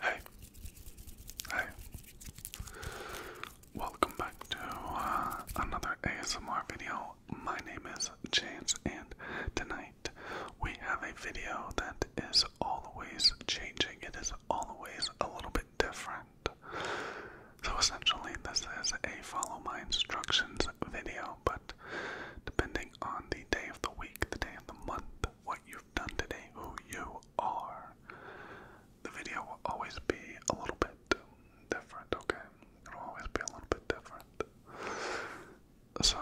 Hey, hey, welcome back to uh, another ASMR video. My name is James, and tonight we have a video that is always changing, it is always a little bit different. So, essentially, this is a follow my instructions video, but depending on the day of the week, the day of the month, what you've done today, who you are, the video will always be a little bit different, okay? It'll always be a little bit different. So,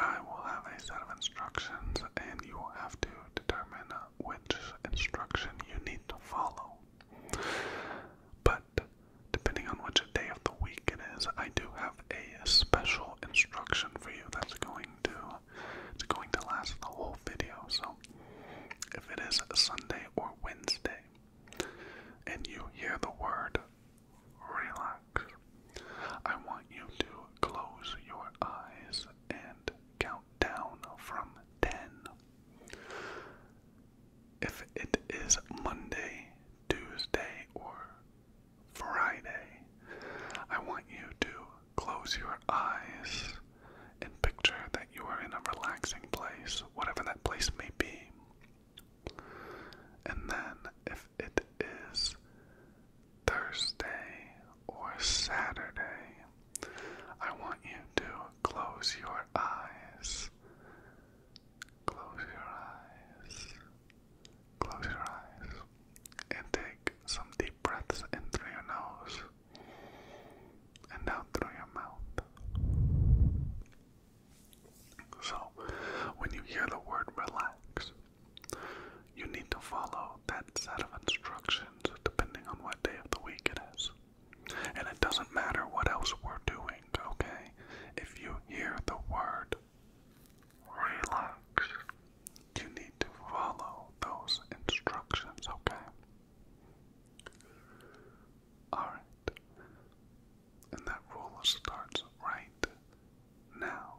I will have a set of instructions, and you will have to determine which instruction you need to follow. But, depending on which day of the week it is, I do have a special instruction for you that's going to it's going to last the whole video. So if it is Sunday or Wednesday and you hear the word relax, I want you to close your eyes and count down from 10. If it is Monday, Tuesday, or Friday, I want you to close your eyes and picture that you are in a relaxing place, whatever that place may be. And then, if it is Thursday or Saturday, I want you to close your eyes. Close your eyes. Close your eyes and take some deep breaths in through your nose and out through your mouth. So, when you hear the word relax, you need to follow that set of instructions depending on what day of the week it is. And it doesn't matter what else we're doing, okay? If you hear the word relax. You need to follow those instructions, okay? Alright. And that rule starts right now.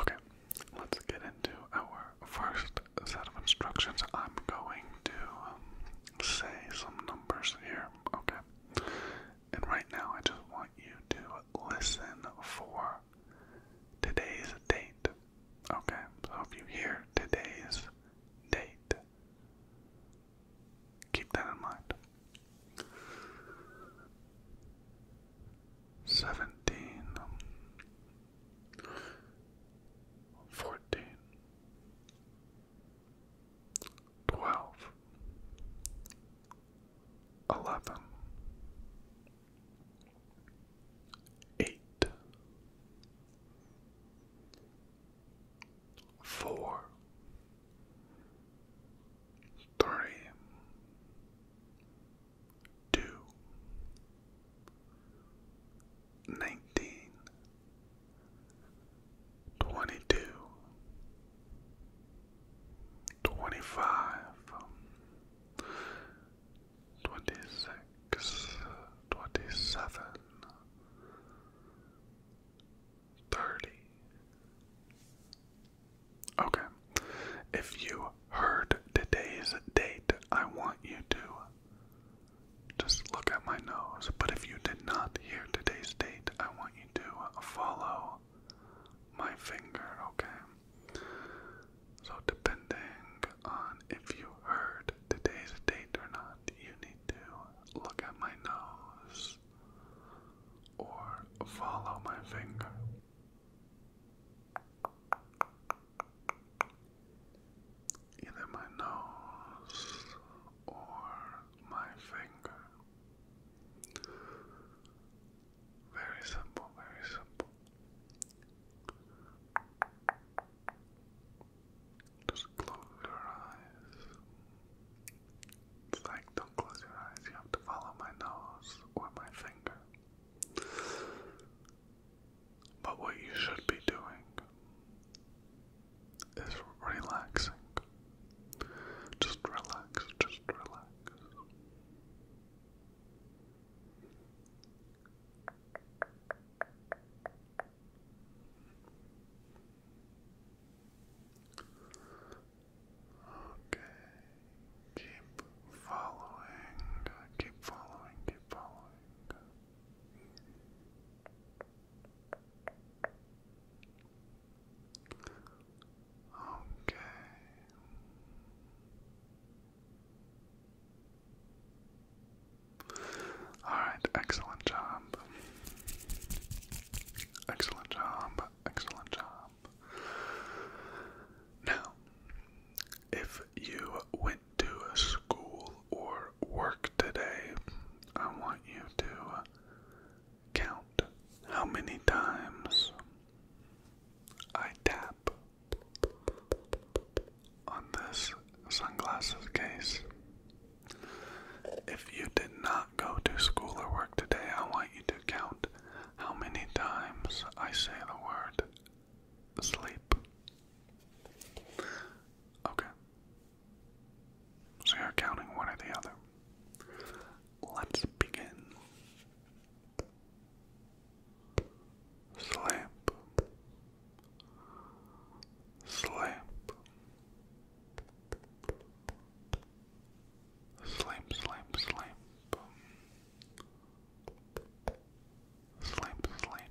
Okay, let's get into our first set of instructions. I'm going to um, say some numbers here okay? And right now, I just want you to listen for today's date, okay? So you hear today's date, keep that in mind. 17 twelve, eleven, eight, four, three, two, nineteen, twenty-two, twenty-five, twenty-six, twenty-seven, thirty. Okay. If you heard today's date, I want you to just look at my nose. But if you did not hear today's date, I want you to follow my finger, okay? So, depending on if you heard today's date or not, you need to look at my nose or follow my finger either my nose or my finger. Very simple, very simple. Just close your eyes. It's like, don't close your eyes, you have to follow my nose or my finger. But what you should be doing it's relaxing. Just relax, just relax. Okay, keep following, keep following, keep following. Okay. All right, excellent job. Excellent job. Excellent job. Now, if you win to school or work today, I want you to uh, count how many times I tap on this sunglasses case. If you did not go to school or work today, I want you to count how many times I say the word sleep. Okay, so you're counting one or the other. Let's begin. Slip, slip, sleep, sleep, sleep, sleep, sleep,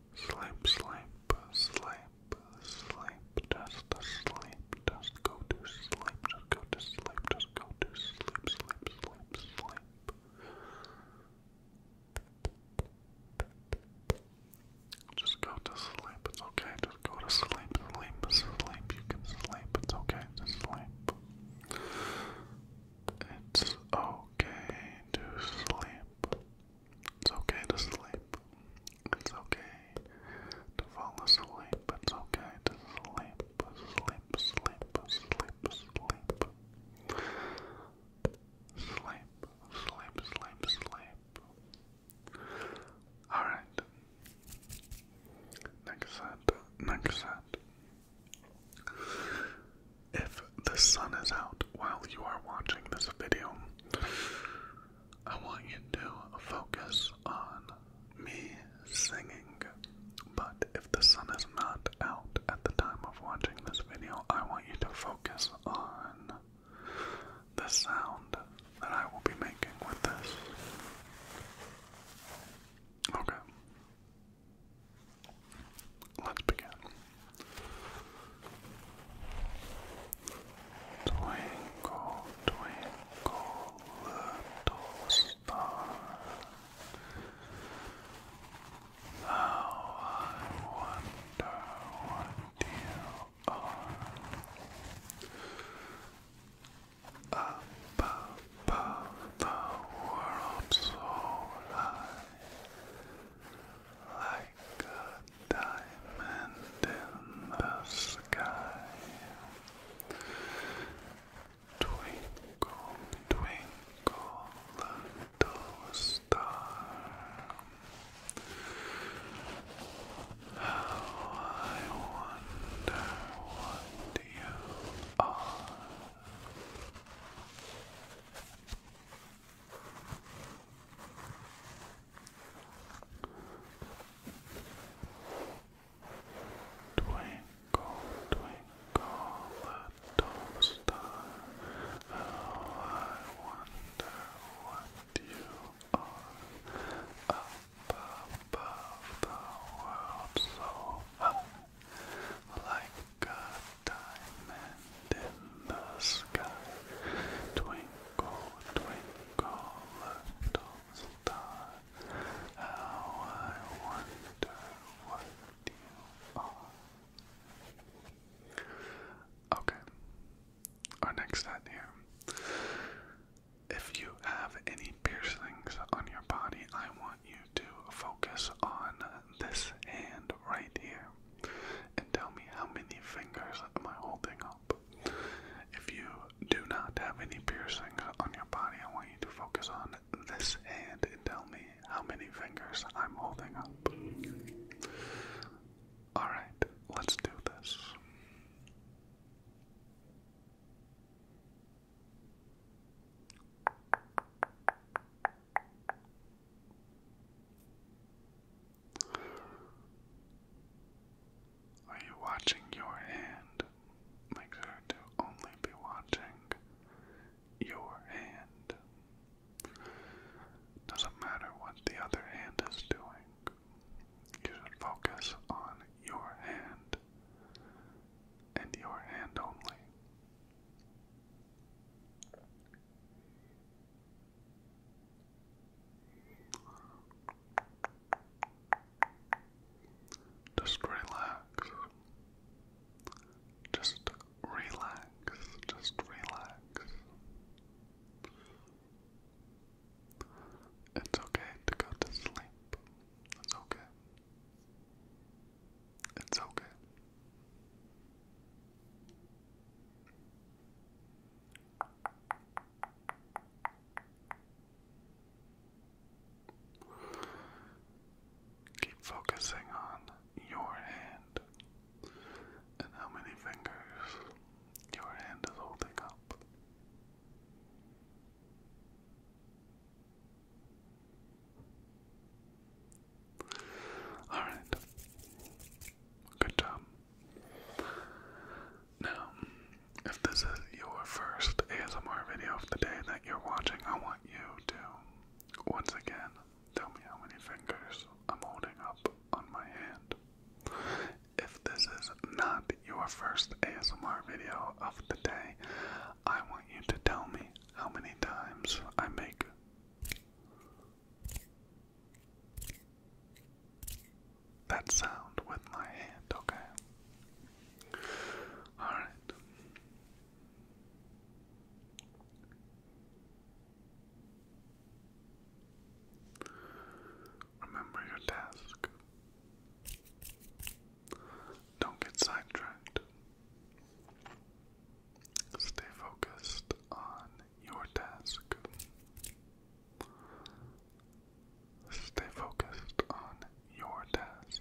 Sleep, sleep, sleep, sleep, just sleep, just go to sleep, just go to sleep, just go to sleep, sleep, sleep, sleep. Just go to sleep, it's okay, just go to sleep, sleep, sleep, you can sleep, it's okay to sleep. It's okay to sleep. It's okay to sleep. It's okay to fall asleep. But It's okay to sleep, sleep, sleep, sleep, sleep. Sleep, sleep, sleep, sleep. Alright. Next set, next set if the sun is out while you are watching this video, I want you to focus on me singing. But if the sun is not out at the time of watching this video, I want you to focus on the sound that I will be making with this. Okay. Let's begin. Twinkle, twinkle, little star. How I wonder what you are. Up above the world so high like a diamond in the sky. Twinkle, twinkle, little star. How I wonder what you are. Twinkle, twinkle, little star, how oh, I wonder what you are up above the world so high, like a diamond in the sky. Twinkle, twinkle, little star. How I wonder what you are. Okay. Our next ad If you have any piercings on your body, I want you to focus on this hand right here and tell me how many fingers am I holding up. If you do not have any piercings on your body, I want you to focus on this hand and tell me how many fingers I'm holding up. Alright, let's do this. Are you watching your hand? Make sure to only be watching your hand. Doesn't matter what the other hand is doing. You should focus on your hand and your hand only. Just relax. Just relax. Just relax. It's okay to go to sleep. It's okay. It's okay. Keep focusing on your hand and how many fingers your hand is holding up. Alright. Good job. Now, if this is your first ASMR video of the day that you're watching, I want you to, once again, tell me how many fingers I'm holding up on my hand. If this is not your first ASMR video of the day, I want you to tell me how many times I make that sound with my hand, okay? Alright. Remember your task. Don't get sidetracked. Stay focused on your task. Stay focused on your task.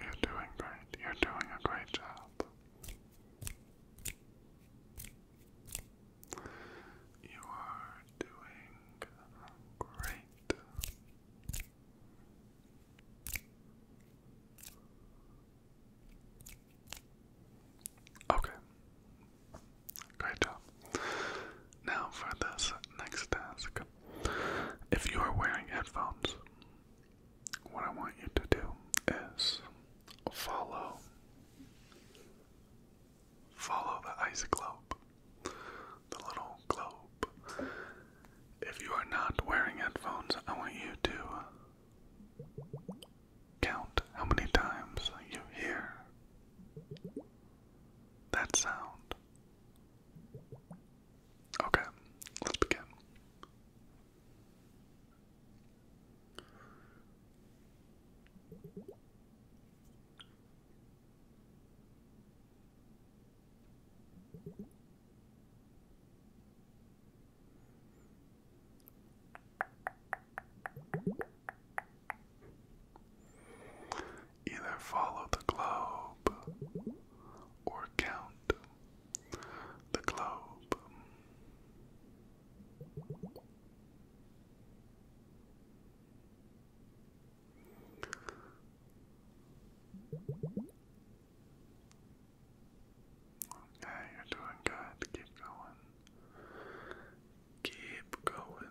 You're doing great. You're doing a great job. You are doing great. Okay. Great job. Now for this next task. If you are wearing headphones, what I want you to do is follow follow the ice globe. The little globe. If you are not wearing headphones, I want you to count how many times you hear that sound. Okay, let's begin. Either follow the globe or count the globe. Okay, you're doing good. Keep going. Keep going.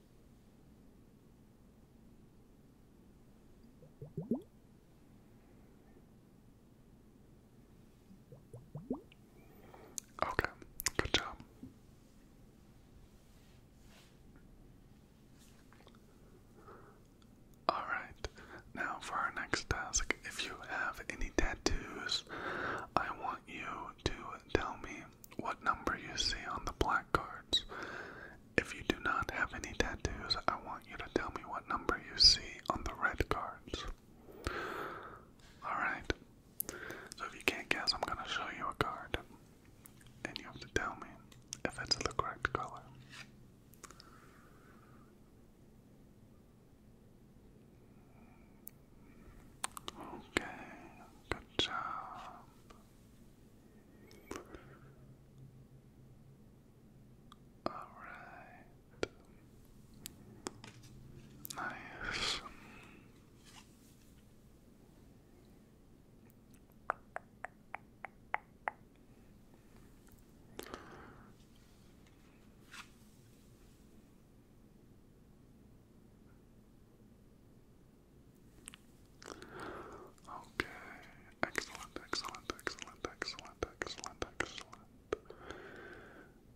Okay, good job. All right, now for our next task. If you have any tattoos, I want you to tell me what number you see on the black cards. If you do not have any tattoos, I want you to tell me what number you see on the red cards. Alright. So if you can't guess, I'm going to show you a card. And you have to tell me if it's the correct color. Okay, good job. Alright. Nice. Okay, excellent, excellent, excellent, excellent, excellent, excellent.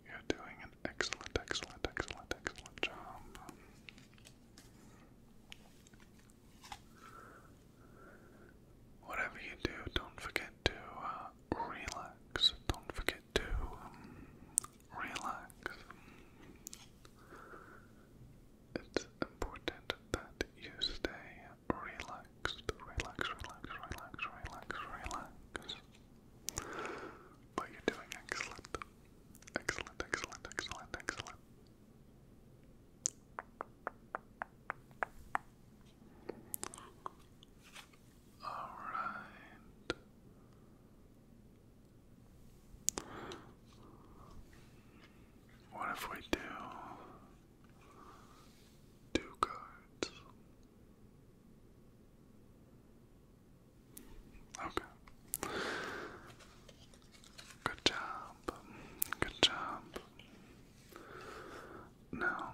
You're doing an excellent, excellent, excellent, excellent job. Whatever you do, don't forget to uh, relax. Don't forget to um, relax it's important that you stay relaxed, relax, relax, relax, relax, relax. But you're doing excellent. Excellent, excellent, excellent, excellent. Alright. What if we do two cards? Okay. Good job. Good job. Now,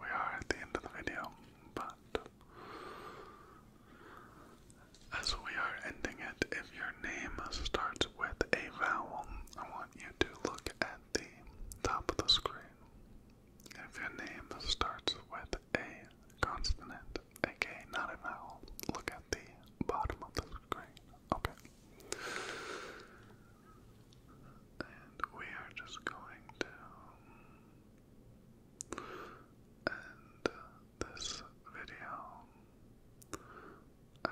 we are at the end of the video, but as we are ending it, if your name starts with a vowel, I want you to look at the top of the screen. If your name starts with a consonant, okay, not a vowel, look at the bottom of the screen. Okay. And we are just going to. And this video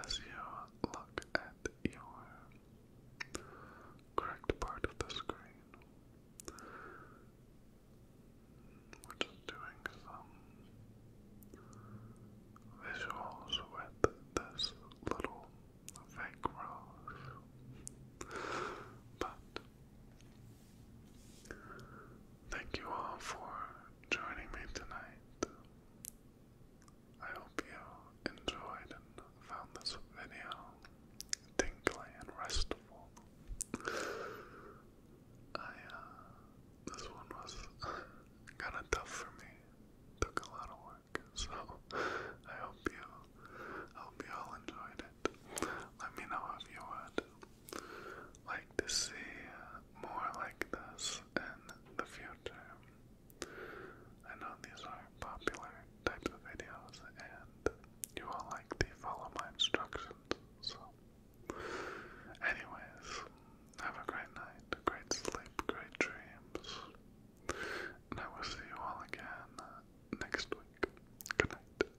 as you look at your correct part of the screen, which is doing some visuals with this little fake rose. But Thank you all for joining me tonight. I hope you enjoyed and found this video tingly and restful. I, uh, this one was kind of tough for me. Took a lot of work, so I hope you, hope you all enjoyed it. Let me know if you would like to see more like this in the future. I know these are popular types of videos and you all like to follow my instructions, so anyways, have a great night, great sleep, great dreams, and I will see you all again next week. Good night.